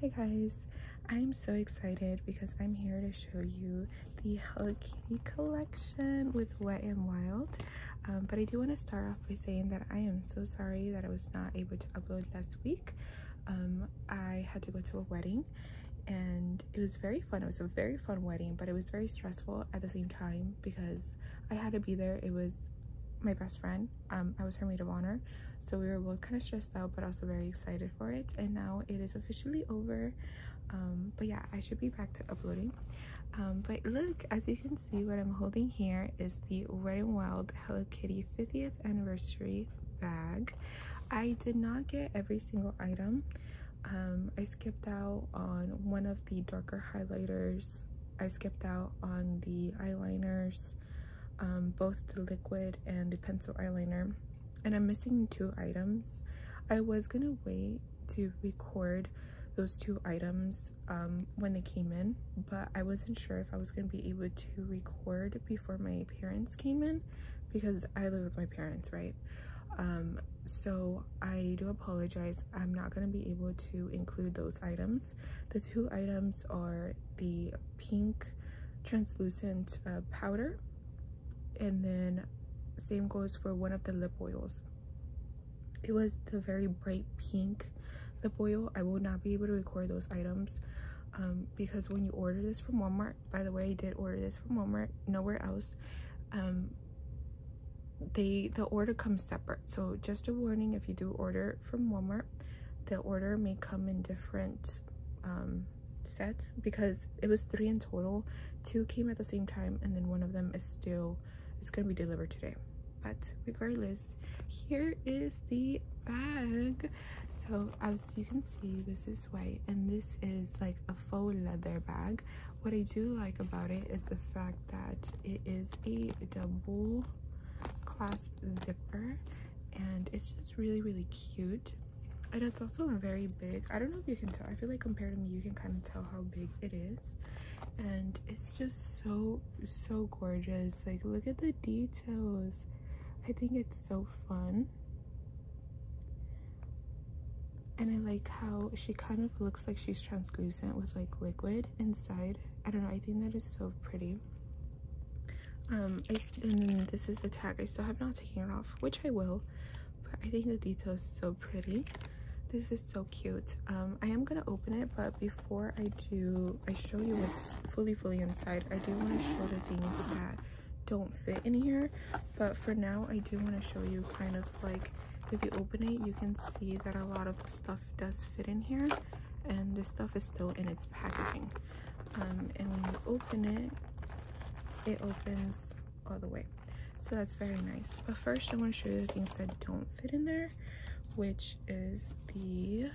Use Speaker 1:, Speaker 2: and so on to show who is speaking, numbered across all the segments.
Speaker 1: Hi guys, I'm so excited because I'm here to show you the Hello Kitty collection with Wet and Wild. Um, but I do want to start off by saying that I am so sorry that I was not able to upload last week. Um, I had to go to a wedding and it was very fun. It was a very fun wedding, but it was very stressful at the same time because I had to be there. It was my best friend um, I was her maid of honor. So we were both kind of stressed out, but also very excited for it. And now it is officially over. Um, but yeah, I should be back to uploading. Um, but look, as you can see, what I'm holding here is the Wet n Wild Hello Kitty 50th anniversary bag. I did not get every single item. I skipped out on one of the darker highlighters. I skipped out on the eyeliners um, both the liquid and the pencil eyeliner. And I'm missing two items. I was gonna wait to record those two items um, when they came in, but I wasn't sure if I was gonna be able to record before my parents came in because I live with my parents, right? Um, so I do apologize. I'm not gonna be able to include those items the two items are the pink translucent uh, powder and then same goes for one of the lip oils. It was the very bright pink lip oil. I will not be able to record those items um, because when you order this from Walmart, by the way, I did order this from Walmart, nowhere else. Um, they the order comes separate so just a warning if you do order from Walmart. The order may come in different um, sets because it was three in total. Two came at the same time and then one of them is still, is going to be delivered today. But regardless, here is the bag. So as you can see, this is white and this is like a faux leather bag. What I do like about it is the fact that it is a double clasp zipper and it's just really really cute and it's also very big i don't know if you can tell i feel like compared to me you can kind of tell how big it is and it's just so so gorgeous like look at the details i think it's so fun and i like how she kind of looks like she's translucent with like liquid inside i don't know i think that is so pretty um and this is the tag i still have not taken it off which i will but i think the detail is so pretty this is so cute um i am gonna open it but before i do i show you what's fully fully inside i do want to show the things that don't fit in here but for now i do want to show you kind of like if you open it you can see that a lot of the stuff does fit in here and this stuff is still in its packaging um, and when you open it it opens all the way so that's very nice but first i want to show you the things that don't fit in there which is the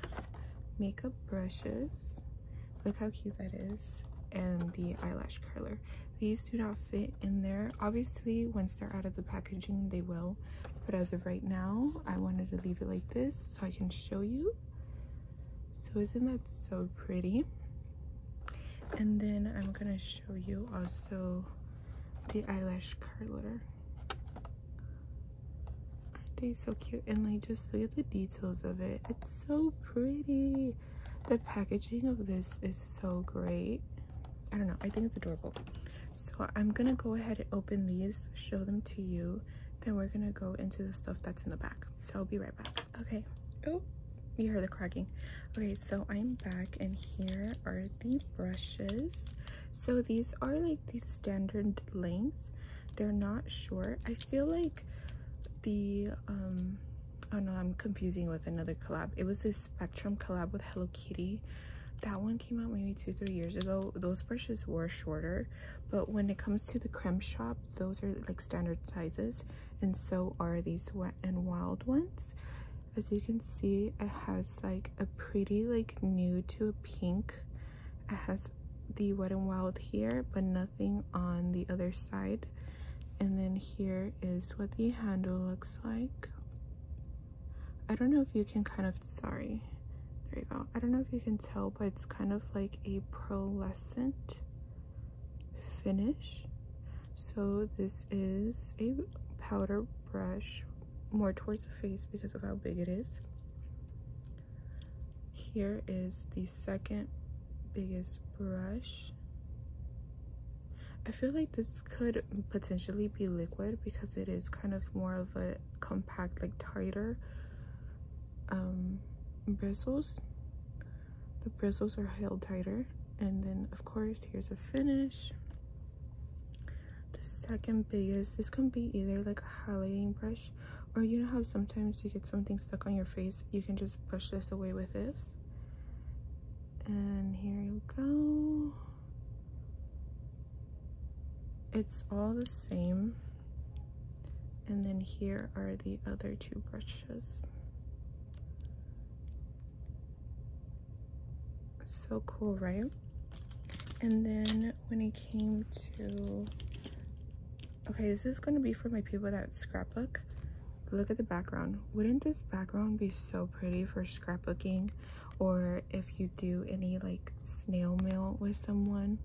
Speaker 1: makeup brushes look how cute that is and the eyelash curler these do not fit in there obviously once they're out of the packaging they will but as of right now i wanted to leave it like this so I can show you. So isn't that so pretty? And then I'm gonna show you also the eyelash curler. Aren't they so cute? And like just look at the details of it. It's so pretty. The packaging of this is so great. I don't know, I think it's adorable. So I'm gonna go ahead and open these, show them to you. Then we're gonna go into the stuff that's in the back. So I'll be right back. Okay. Oh, you heard the cracking. Okay, so I'm back and here are the brushes. So these are like the standard length. They're not short. I feel like the um oh no i'm confusing with another collab it was this spectrum collab with hello kitty that one came out maybe two three years ago those brushes were shorter but when it comes to the creme shop those are like standard sizes and so are these wet and wild ones as you can see it has like a pretty like nude to a pink it has the wet and wild here but nothing on the other side and then here is what the handle looks like I don't know if you can kind of sorry there you go i don't know if you can tell but it's kind of like a pearlescent finish so this is a powder brush more towards the face because of how big it is here is the second biggest brush I feel like this could potentially be liquid because it is kind of more of a compact like tighter um, bristles the bristles are held tighter and then of course here's a finish the second biggest this can be either like a highlighting brush or you know how sometimes you get something stuck on your face you can just brush this away with this and here you go it's all the same and then here are the other two brushes so cool right and then when it came to okay this is going to be for my people that scrapbook look at the background wouldn't this background be so pretty for scrapbooking or if you do any like snail mail with someone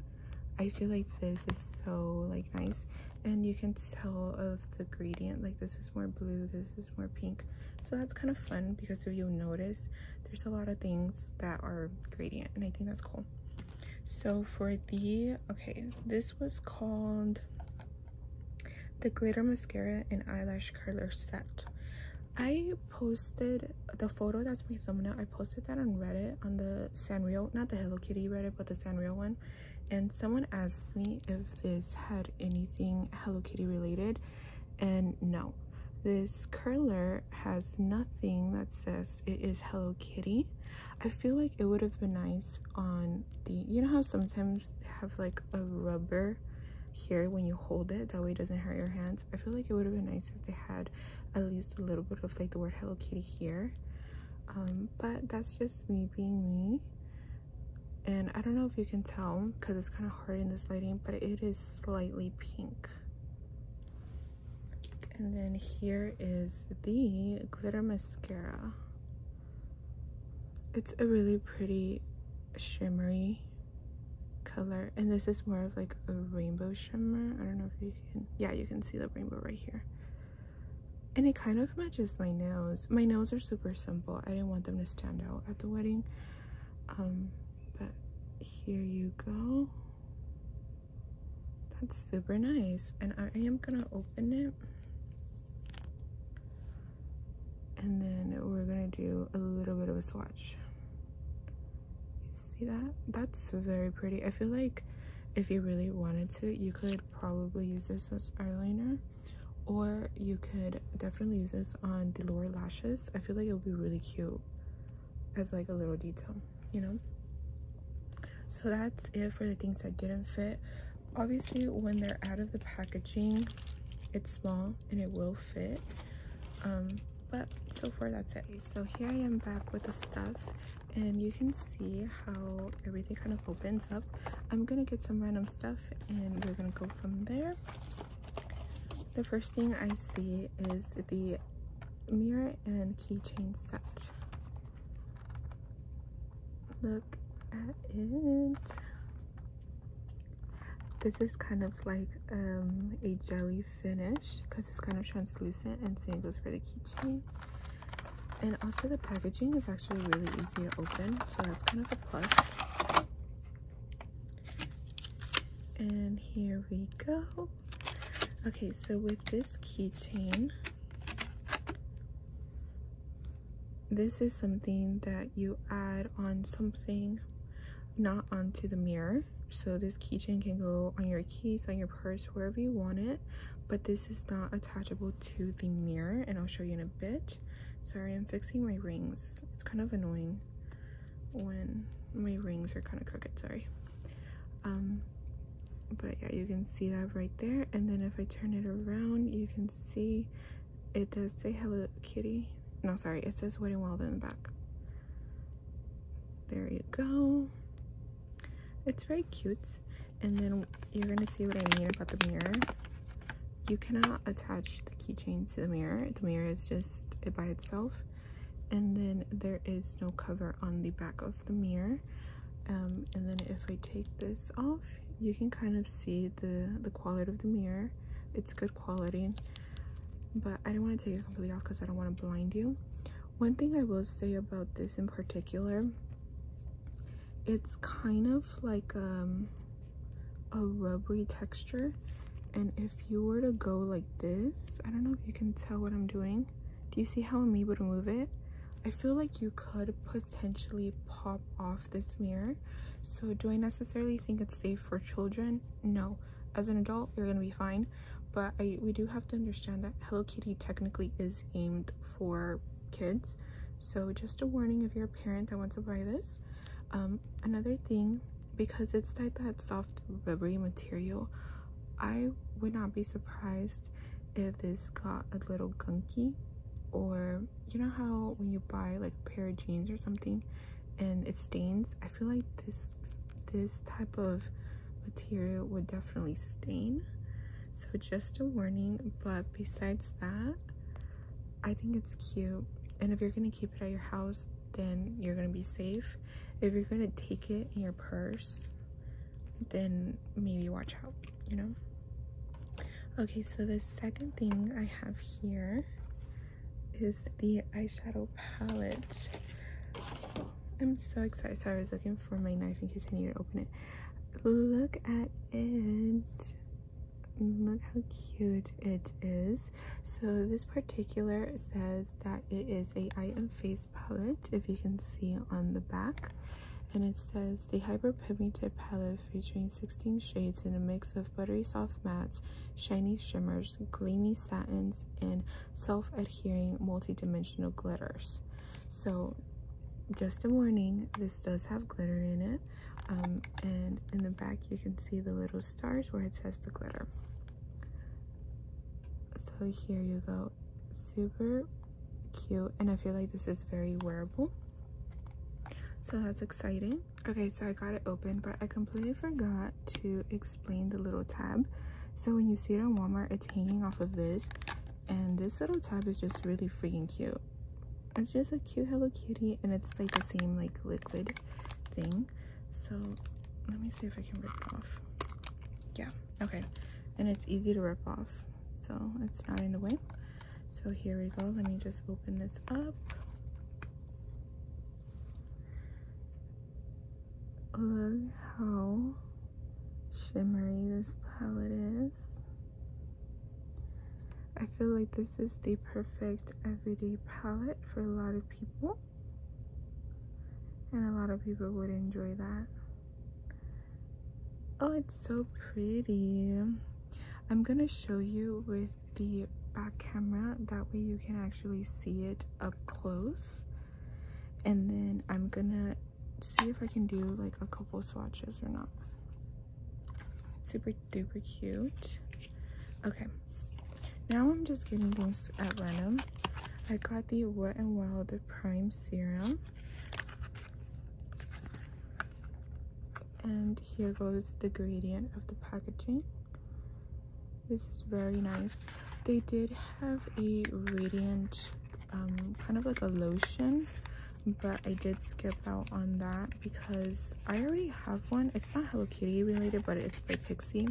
Speaker 1: i feel like this is so like nice and you can tell of the gradient like this is more blue this is more pink so that's kind of fun because if you notice there's a lot of things that are gradient and i think that's cool so for the okay this was called the glitter mascara and eyelash curler set i posted the photo that's my thumbnail i posted that on reddit on the sanrio not the hello kitty reddit but the sanrio one and someone asked me if this had anything hello kitty related and no this curler has nothing that says it is hello kitty i feel like it would have been nice on the you know how sometimes they have like a rubber here when you hold it that way it doesn't hurt your hands i feel like it would have been nice if they had at least a little bit of like the word Hello Kitty here. Um, but that's just me being me. And I don't know if you can tell because it's kind of hard in this lighting, but it is slightly pink. And then here is the glitter mascara. It's a really pretty shimmery color and this is more of like a rainbow shimmer I don't know if you can yeah you can see the rainbow right here and it kind of matches my nails my nails are super simple I didn't want them to stand out at the wedding um but here you go that's super nice and I am gonna open it and then we're gonna do a little bit of a swatch see that that's very pretty i feel like if you really wanted to you could probably use this as eyeliner or you could definitely use this on the lower lashes i feel like it would be really cute as like a little detail you know so that's it for the things that didn't fit obviously when they're out of the packaging it's small and it will fit um but so far that's it. so here I am back with the stuff and you can see how everything kind of opens up. I'm gonna get some random stuff and we're gonna go from there. The first thing I see is the mirror and keychain set. Look at it. This is kind of like um, a jelly Finish because it's kind of translucent and seeing those really the keychain and also the packaging is actually really easy to open so that's kind of a plus and here we go okay so with this keychain this is something that you add on something not onto the mirror so this keychain can go on your keys on your purse wherever you want it but this is not attachable to the mirror and i'll show you in a bit sorry i'm fixing my rings it's kind of annoying when my rings are kind of crooked sorry um but yeah you can see that right there and then if i turn it around you can see it does say hello kitty no sorry it says wedding wild in the back there you go. It's very cute. And then you're going to see what I mean about the mirror. You cannot attach the keychain to the mirror. The mirror is just by itself. And then there is no cover on the back of the mirror. Um, and then if I take this off, you can kind of see the, the quality of the mirror. It's good quality but i do not want to take it completely off because i don't want to blind you one thing i will say about this in particular it's kind of like um, a rubbery texture and if you were to go like this i don't know if you can tell what i'm doing do you see how i'm to move it i feel like you could potentially pop off this mirror so do i necessarily think it's safe for children no as an adult you're gonna be fine but I, we do have to understand that Hello Kitty technically is aimed for kids so just a warning if you're a parent that wants to buy this um, another thing because it's like that soft rubbery material I would not be surprised if this got a little gunky or you know how when you buy like a pair of jeans or something and it stains i feel like this this type of material would definitely stain so just a warning but besides that i think it's cute and if you're gonna keep it at your house then you're gonna be safe if you're gonna take it in your purse then maybe watch out you know okay so the second thing i have here is the eyeshadow palette. I'm so excited. So I was looking for my knife in case I needed to open it. Look at it. Look how cute it is. So this particular says that it is a eye and face palette, if you can see on the back. And it says the hyper pigmented palette featuring 16 shades in a mix of buttery soft mattes, shiny shimmers, gleamy Satin and self-adhering multi-dimensional glitters. So just a warning, this does have glitter in it. Um, and in the back, you can see the little stars where it says the glitter. So here you go. Super cute. And I feel like this is very wearable. So that's exciting okay so i got it open but i completely forgot to explain the little tab so when you see it on walmart it's hanging off of this and this little tab is just really freaking cute it's just a cute hello kitty and it's like the same like liquid thing so let me see if i can rip it off yeah okay and it's easy to rip off so it's not in the way so here we go let me just open this up Look how shimmery this palette is. I feel like this is the perfect everyday palette for a lot of people. And a lot of people would enjoy that. Oh, it's so pretty. I'm going to show you with the back camera that way you can actually see it up close and then I'm gonna see if I can do like a couple swatches or not super duper cute okay now I'm just getting things at random I got the Wet n Wild Prime Serum and here goes the gradient of the packaging this is very nice they did have a radiant um, kind of like a lotion but I did skip out on that because I already have one it's not Hello Kitty related but it's by Pixie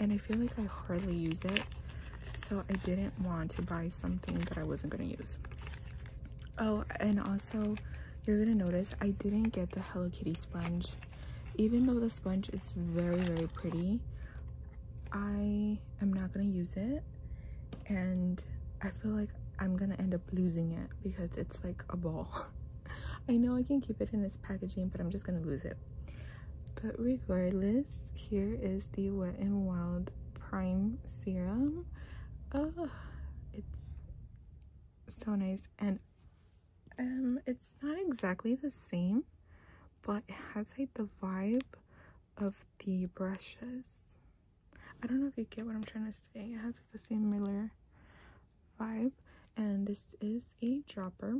Speaker 1: and I feel like I hardly use it so I didn't want to buy something that I wasn't going to use oh and also you're going to notice I didn't get the Hello Kitty sponge even though the sponge is very very pretty i am not gonna use it and i feel like i'm gonna end up losing it because it's like a ball i know i can keep it in its packaging but i'm just gonna lose it but regardless here is the wet and wild prime serum oh it's so nice and um, it's not exactly the same, but it has like the vibe of the brushes. I don't know if you get what I'm trying to say. It has like the same Miller vibe. And this is a dropper.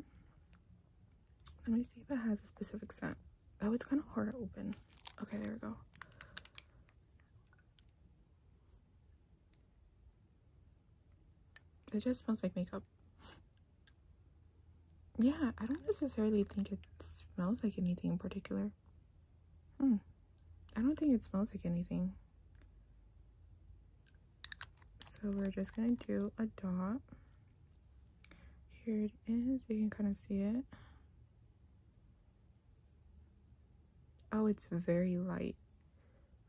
Speaker 1: Let me see if it has a specific scent. Oh, it's kind of hard to open. Okay, there we go. It just smells like makeup. Yeah, I don't necessarily think it smells like anything in particular. Hmm. I don't think it smells like anything. So we're just going to do a dot. Here it is. You can kind of see it. Oh, it's very light.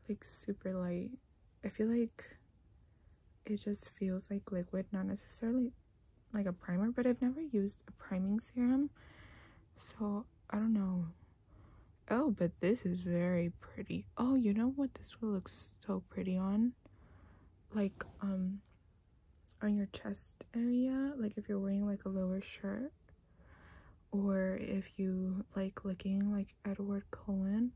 Speaker 1: Like super light. I feel like it just feels like liquid, not necessarily like a primer, but I've never used a priming serum. So, I don't know. Oh, but this is very pretty. Oh, you know what? This will look so pretty on? Like, um, on your chest area. Like, if you're wearing, like, a lower shirt or if you like licking like Edward Cullen.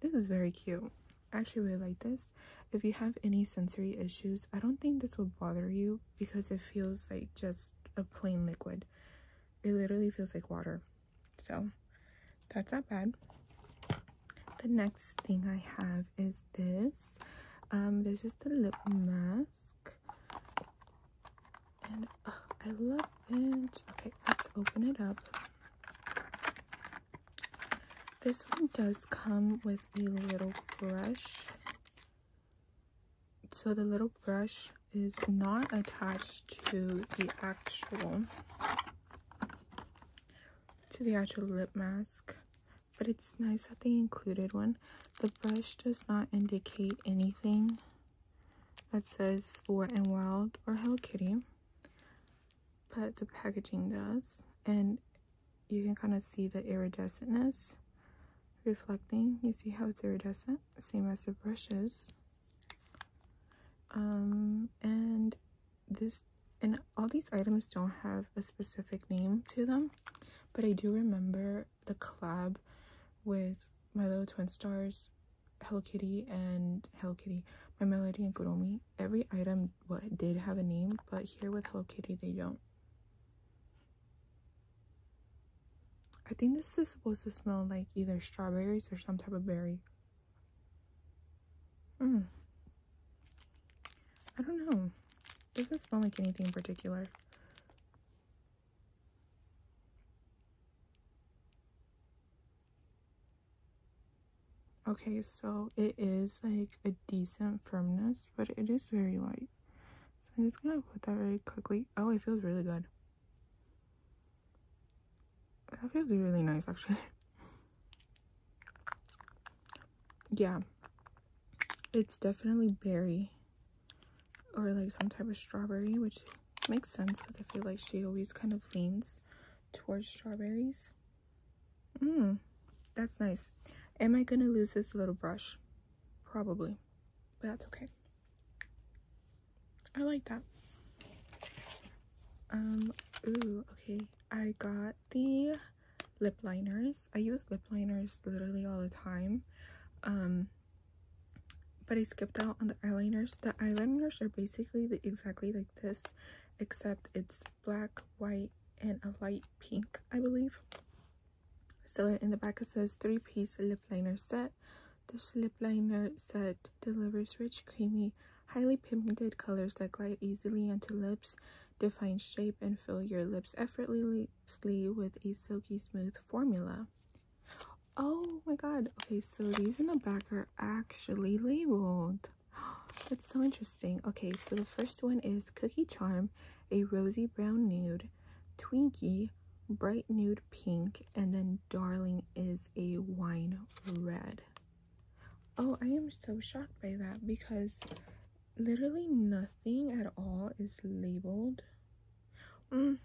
Speaker 1: This is very cute. I actually really like this. If you have any sensory issues, I don't think this will bother you because it feels like just a plain liquid. It literally feels like water. So that's not bad. The next thing I have is this. Um, this is the lip mask. And uh, I love it. Okay, let's open it up. This one does come with a little brush. So the little brush is not attached to the actual to the actual lip mask but it's nice that they included one the brush does not indicate anything that says Wet and Wild or Hello Kitty, but the packaging does. And you can kind of see the iridescentness reflecting. You see how it's iridescent, same as the brushes. Um, and this, and all these items don't have a specific name to them, but I do remember the collab with my little twin stars hello kitty and hello kitty my melody and kuromi every item what did have a name but here with hello kitty they don't i think this is supposed to smell like either strawberries or some type of berry mm. i don't know doesn't smell like anything in particular Okay, so it is like a decent firmness, but it is very light. So I'm just gonna put that really quickly. Oh, it feels really good. That feels really nice, actually. yeah, it's definitely berry or like some type of strawberry, which Makes sense because I feel like she always kind of leans towards strawberries. Mmm, that's nice. Am I going to lose this little brush? Probably, but that's okay. I like that. Um, ooh, okay. I got the lip liners. I use lip liners literally all the time. Um, but I skipped out on the eyeliners. The eyeliners are basically exactly like this, except it's black, white, and a light pink, I believe. So in the back it says three-piece lip liner set. This lip liner set delivers rich, creamy, highly pigmented colors that glide easily onto lips, define shape, and fill your lips effortlessly with a silky smooth formula. Oh my god. Okay, so these in the back are actually labeled. That's so interesting. Okay, so the first one is Cookie Charm, a rosy brown nude, Twinkie, bright nude pink, and then Darling is a wine red. Oh, I am so shocked by that because literally nothing at all is labeled. Mm,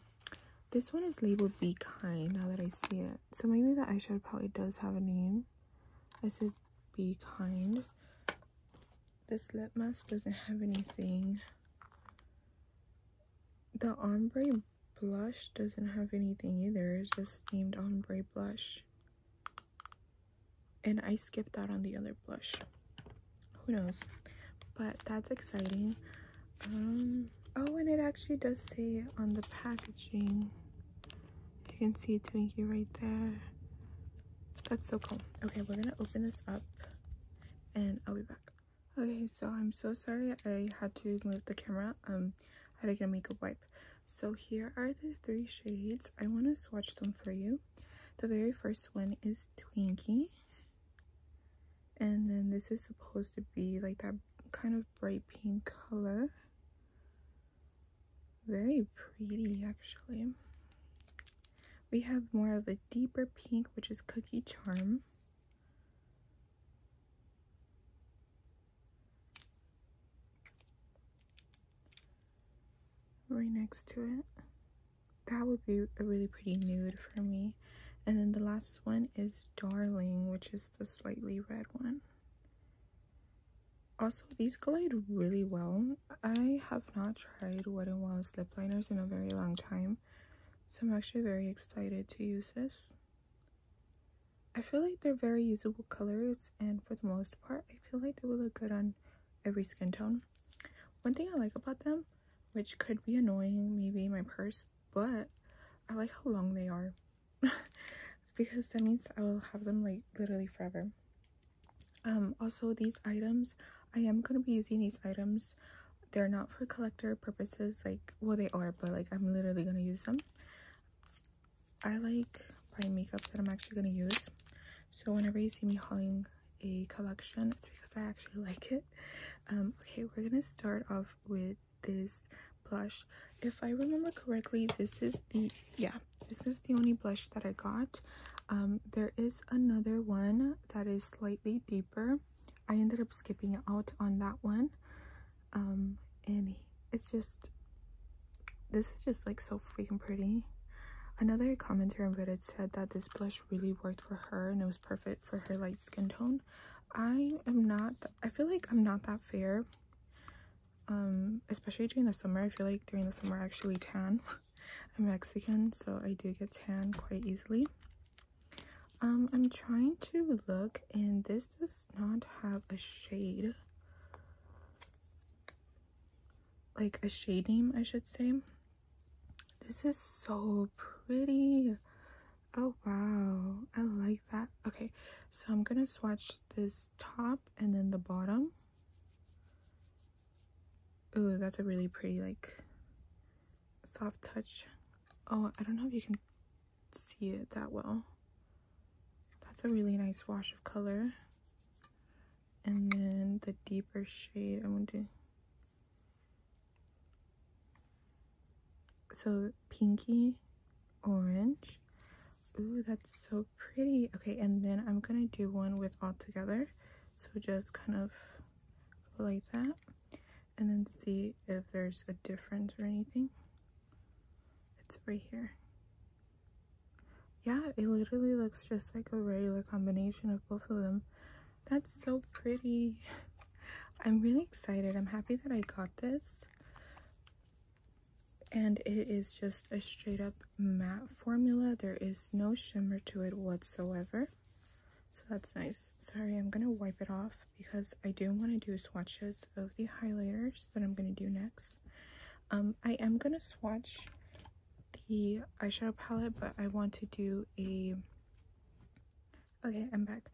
Speaker 1: this one is labeled Be Kind now that I see it. So maybe the eyeshadow probably does have a name. It says Be Kind. This lip mask doesn't have anything. The ombre blush doesn't have anything either. It's just named ombre blush. And I skipped out on the other blush. Who knows? But that's exciting. Um, oh, and it actually does say on the packaging. You can see Twinkie right there. That's so cool. Okay, we're gonna open this up and I'll be back. Okay, so I'm so sorry I had to move the camera. Um, I had to get a makeup wipe. So here are the three shades. I want to swatch them for you. The very first one is Twinkie and then this is supposed to be like that kind of bright pink color very pretty actually we have more of a deeper pink which is cookie charm right next to it that would be a really pretty nude for me and then the last one is Darling, which is the slightly red one. Also, these glide really well. I have not tried Wet n Wild lip liners in a very long time. So I'm actually very excited to use this. I feel like they're very usable colors and for the most part, I feel like they will look good on every skin tone. One thing I like about them, which could be annoying, maybe my purse but I like how long they are because that means I will have them like literally forever. Um, also these items, I am going to be using these items. They're not for collector purposes, like, well they are, but like I'm literally going to use them. I like my makeup that I'm actually going to use. So whenever you see me hauling a collection, it's because I actually like it. Um, okay, we're gonna start off with this blush. If I remember correctly, this is the yeah, this is the only blush that I got. Um, there is another one that is slightly deeper. I ended up skipping out on that one. Um, and it's just this is just like so freaking pretty. Another commenter on Reddit said that this blush really worked for her and it was perfect for her light skin tone. I am not, I feel like I'm not that fair. Um, especially during the summer. I feel like during the summer I actually tan. I'm Mexican, so I do get tan quite easily. Um, I'm trying to look and this does not have a shade. Like a shade name, I should say. This is so pretty. Oh, wow. I like that. Okay, so I'm going to swatch this top and then the bottom. Ooh, that's a really pretty, like, soft touch. Oh, I don't know if you can see it that well. That's a really nice wash of color. And then the deeper shade, I'm going to so pinky, orange. Ooh, that's so pretty. Okay, and then I'm gonna do one with all together. So just kind of like that and then see if there's a difference or anything. It's right here. Yeah, it literally looks just like a regular combination of both of them. That's so pretty. I'm really excited. I'm happy that I got this. And it is just a straight up matte formula. There is no shimmer to it whatsoever. So that's nice. Sorry, I'm going to wipe it off because I do want to do swatches of the highlighters that I'm going to do next. Um, I am going to swatch the eyeshadow palette, but I want to do a Okay, I'm back.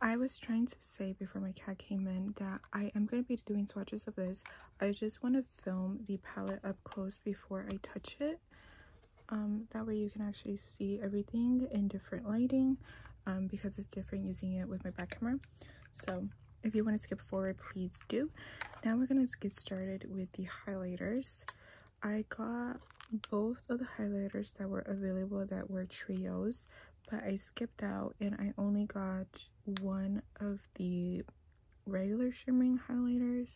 Speaker 1: I was trying to say before my cat came in that I am going to be doing swatches of this. I just want to film the palette up close before I touch it. Um, that way you can actually see everything in different lighting um, because it's different using it with my back camera. So if you want to skip forward, please do. Now we're going to get started with the highlighters. I got both of the highlighters that were available that were trios, but I skipped out and I only got one of the regular shimmering highlighters.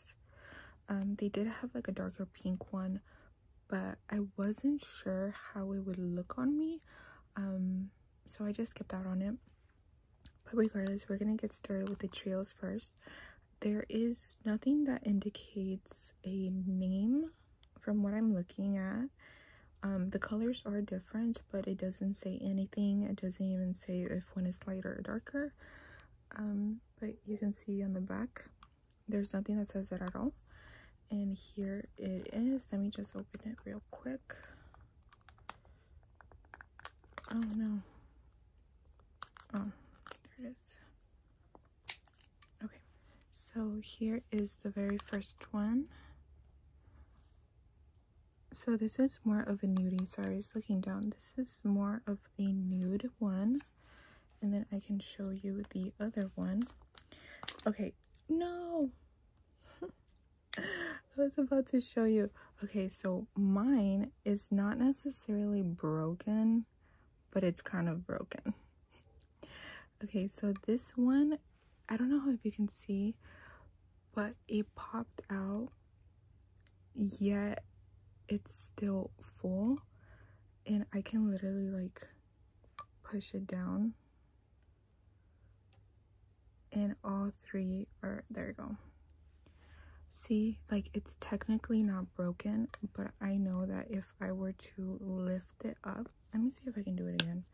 Speaker 1: Um, they did have like a darker pink one, but I wasn't sure how it would look on me. Um, so I just skipped out on it. But regardless, we're gonna get started with the trios first. There is nothing that indicates a name from what I'm looking at. Um, the colors are different, but it doesn't say anything. It doesn't even say if one is lighter or darker. Um, but you can see on the back, there's nothing that says it at all. And here it is. Let me just open it real quick. Oh no. Oh, there it is. Okay, so here is the very first one. So this is more of a nudie. Sorry, I was looking down. This is more of a nude one. And then I can show you the other one. Okay, no! I was about to show you. Okay, so mine is not necessarily broken but it's kind of broken. Okay, so this one, I don't know if you can see, but it popped out, yet it's still full. And I can literally like push it down. And all three are, there you go. See, like it's technically not broken, but I know that if if I were to lift it up. Let me see if I can do it again.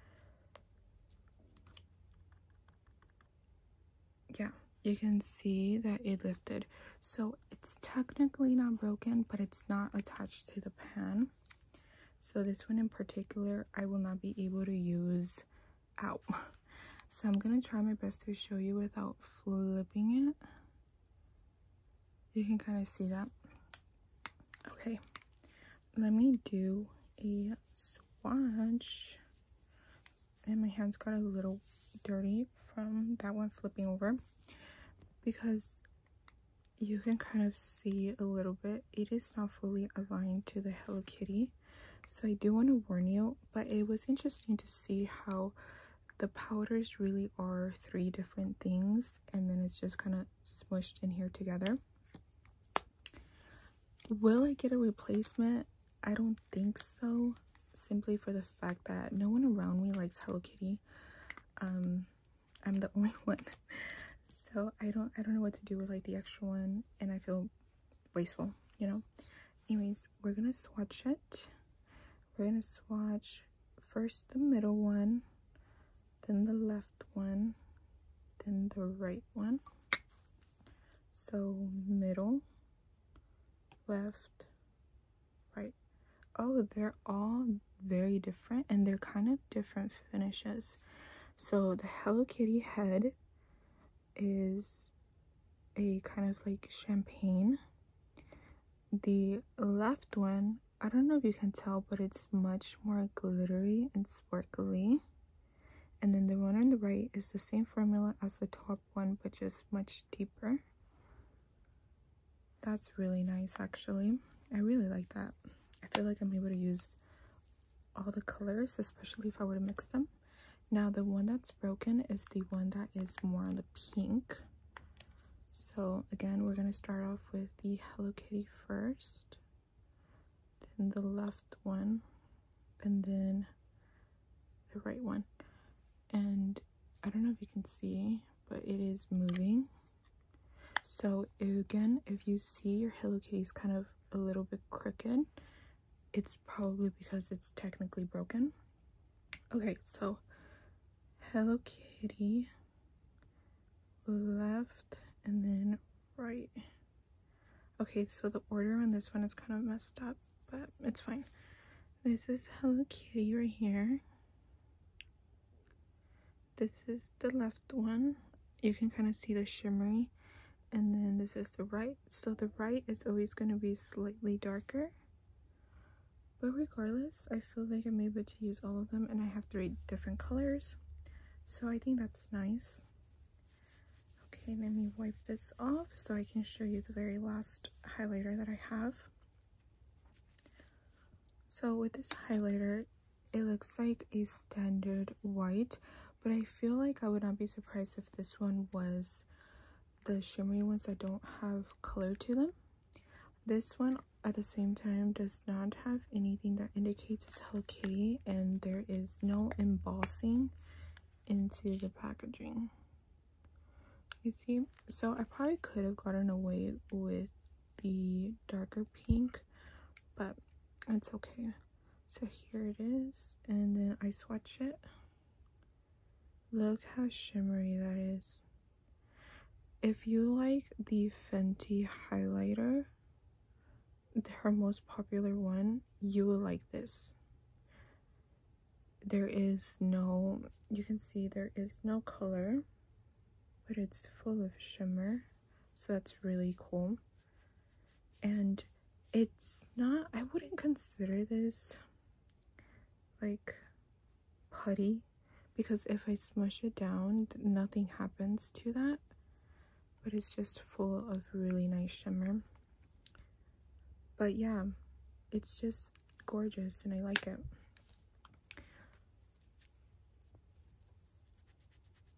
Speaker 1: Yeah, you can see that it lifted. So it's technically not broken, but it's not attached to the pan. So this one in particular, I will not be able to use out. So I'm going to try my best to show you without flipping it you can kind of see that okay let me do a swatch and my hands got a little dirty from that one flipping over because you can kind of see a little bit it is not fully aligned to the Hello Kitty so I do want to warn you but it was interesting to see how the powders really are three different things and then it's just kind of smushed in here together will i get a replacement i don't think so simply for the fact that no one around me likes hello kitty um i'm the only one so i don't i don't know what to do with like the extra one and i feel wasteful you know anyways we're gonna swatch it we're gonna swatch first the middle one, then the left one, then the right one. So middle, left, right. Oh, they're all very different and they're kind of different finishes. So the Hello Kitty head is a kind of like champagne the left one i don't know if you can tell but it's much more glittery and sparkly and then the one on the right is the same formula as the top one but just much deeper that's really nice actually i really like that i feel like i'm able to use all the colors especially if i were to mix them now the one that's broken is the one that is more on the pink so again, we're going to start off with the Hello Kitty first, then the left one, and then the right one. And I don't know if you can see, but it is moving. So again, if you see your Hello Kitty's kind of a little bit crooked, it's probably because it's technically broken. Okay, so Hello Kitty, left, and then right. Okay, so the order on this one is kind of messed up, but it's fine. This is Hello Kitty right here. This is the left one. You can kind of see the shimmery. And then this is the right. So the right is always going to be slightly darker. But regardless, I feel like I'm able to use all of them and I have three different colors. So I think that's nice. Okay, let me wipe this off so I can show you the very last highlighter that I have. So with this highlighter, it looks like a standard white, but I feel like I would not be surprised if this one was the shimmery ones that don't have color to them. This one at the same time does not have anything that indicates it's Hello Kitty and there is no embossing into the packaging. You see? So I probably could have gotten away with the darker pink, but it's okay. So here it is and then I swatch it Look how shimmery that is. If you like the Fenty highlighter, her most popular one, you will like this. There is no, you can see there is no color, but it's full of shimmer. So that's really cool. And it's not, I wouldn't consider this like putty because if I smush it down, nothing happens to that. But it's just full of really nice shimmer. But yeah, it's just gorgeous and I like it.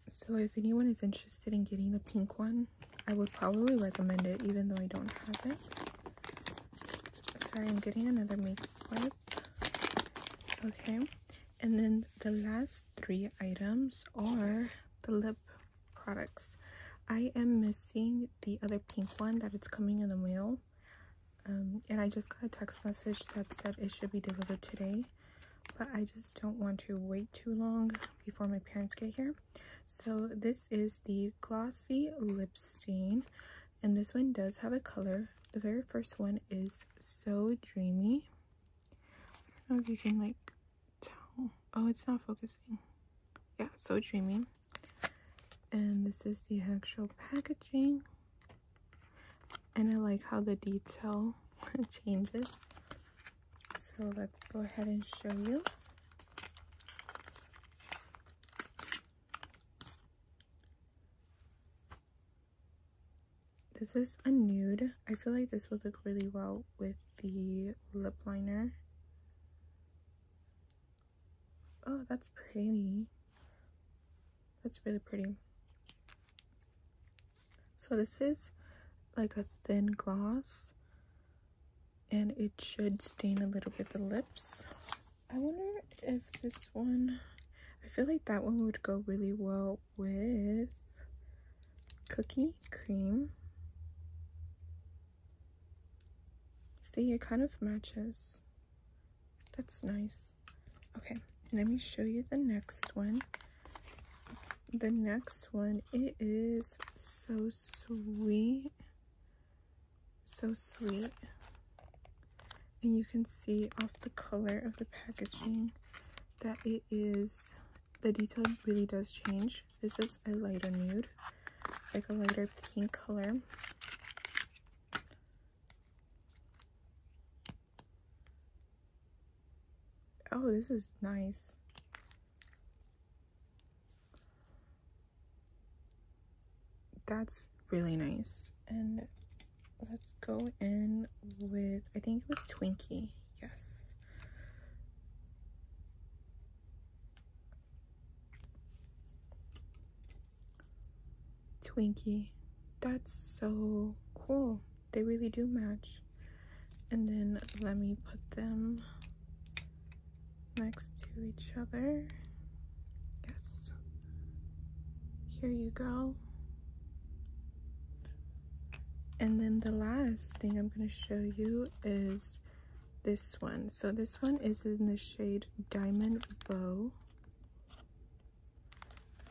Speaker 1: So if anyone is interested in getting the pink one, I would probably recommend it even though I don't have it. Sorry, I'm getting another makeup wipe. Okay. And then the last three items are the lip products. I am missing the other pink one that is coming in the mail. Um, and I just got a text message that said it should be delivered today. But I just don't want to wait too long before my parents get here. So this is the Glossy Lip Stain and this one does have a color the very first one is so dreamy i don't know if you can like tell oh it's not focusing yeah so dreamy and this is the actual packaging and i like how the detail changes so let's go ahead and show you this is a nude. I feel like this would look really well with the lip liner. Oh, that's pretty. That's really pretty. So this is like a thin gloss and it should stain a little bit the lips I wonder if this one, I feel like that one would go really well with cookie cream. See, it kind of matches. That's nice. Okay, let me show you the next one. The next one, it is so sweet. So sweet. And you can see off the color of the packaging that it is, the detail really does change. This is a lighter nude, like a lighter pink color. Oh, this is nice that's really nice. And let's go in with, I think it was Twinkie. Yes. Twinkie. That's so cool. They really do match. And then let me put them next to each other. Yes. Here you go. And then the last thing I'm going to show you is this one. So this one is in the shade Diamond Bow.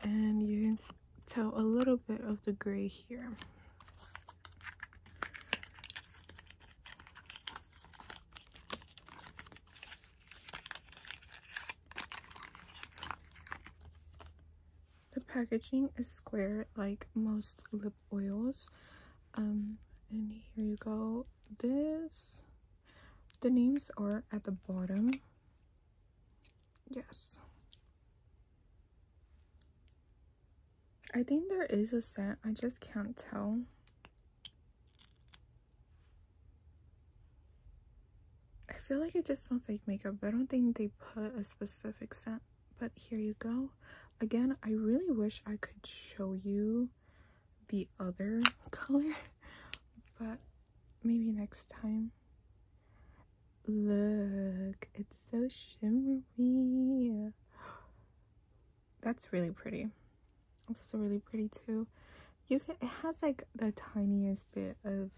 Speaker 1: And you can tell a little bit of the gray here. The packaging is square like most lip oils. Um, and here you go. This, the names are at the bottom. Yes. I think there is a scent, I just can't tell. I feel like it just smells like makeup, but I don't think they put a specific scent. But here you go. Again, I really wish I could show you the other color, but maybe next time. Look, it's so shimmery that's really pretty. It's also really pretty too. You can it has like the tiniest bit of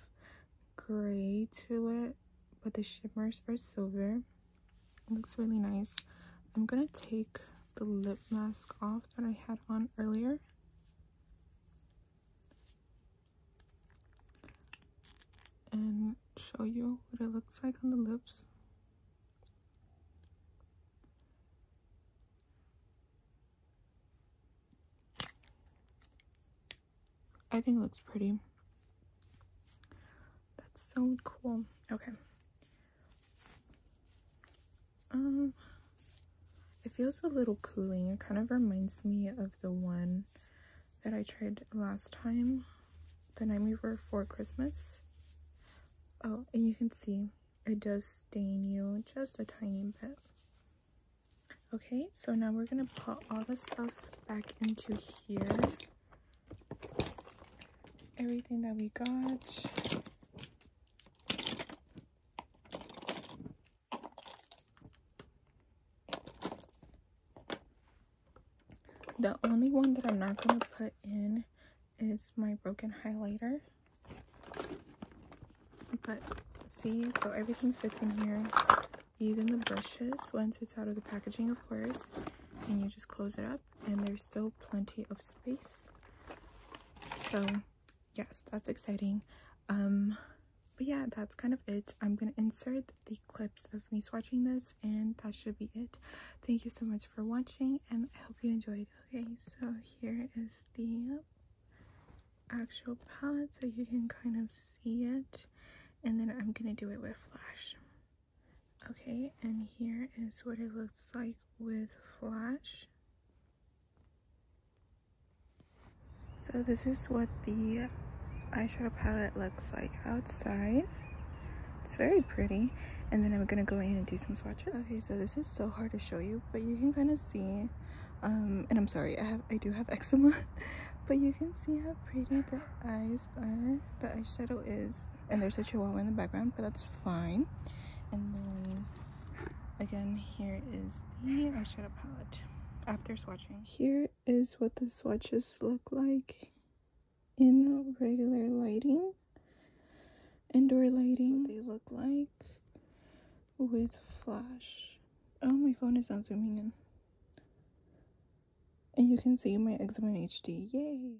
Speaker 1: gray to it, but the shimmers are silver. looks really nice. I'm gonna take the lip mask off that I had on earlier. And show you what it looks like on the lips. I think it looks pretty. That's so cool. Okay. Um, it feels a little cooling. It kind of reminds me of the one that I tried last time, the night for Christmas. Oh, and you can see it does stain you just a tiny bit. Okay, so now we're going to put all the stuff back into here. Everything that we got. The only one that I'm not going to put in is my broken highlighter. But see, so everything fits in here, even the brushes, once it's out of the packaging, of course. And you just close it up, and there's still plenty of space. So, yes, that's exciting. Um, but yeah, that's kind of it. I'm going to insert the clips of me swatching this, and that should be it. Thank you so much for watching, and I hope you enjoyed okay so here is the actual palette so you can kind of see it and then I'm gonna do it with flash okay and here is what it looks like with flash so this is what the eyeshadow palette looks like outside it's very pretty. And then I'm gonna go in and do some swatches. Okay, so this is so hard to show you, but you can kind of see, um, and I'm sorry, I have, I do have eczema, but you can see how pretty the eyes are, the eyeshadow is. And there's a chihuahua in the background, but that's fine. And then, again, here is the eyeshadow palette after swatching. Here is what the swatches look like in regular lighting, indoor lighting. what they look like with flash. Oh, my phone is not zooming in. And you can see my eczema in HD. Yay!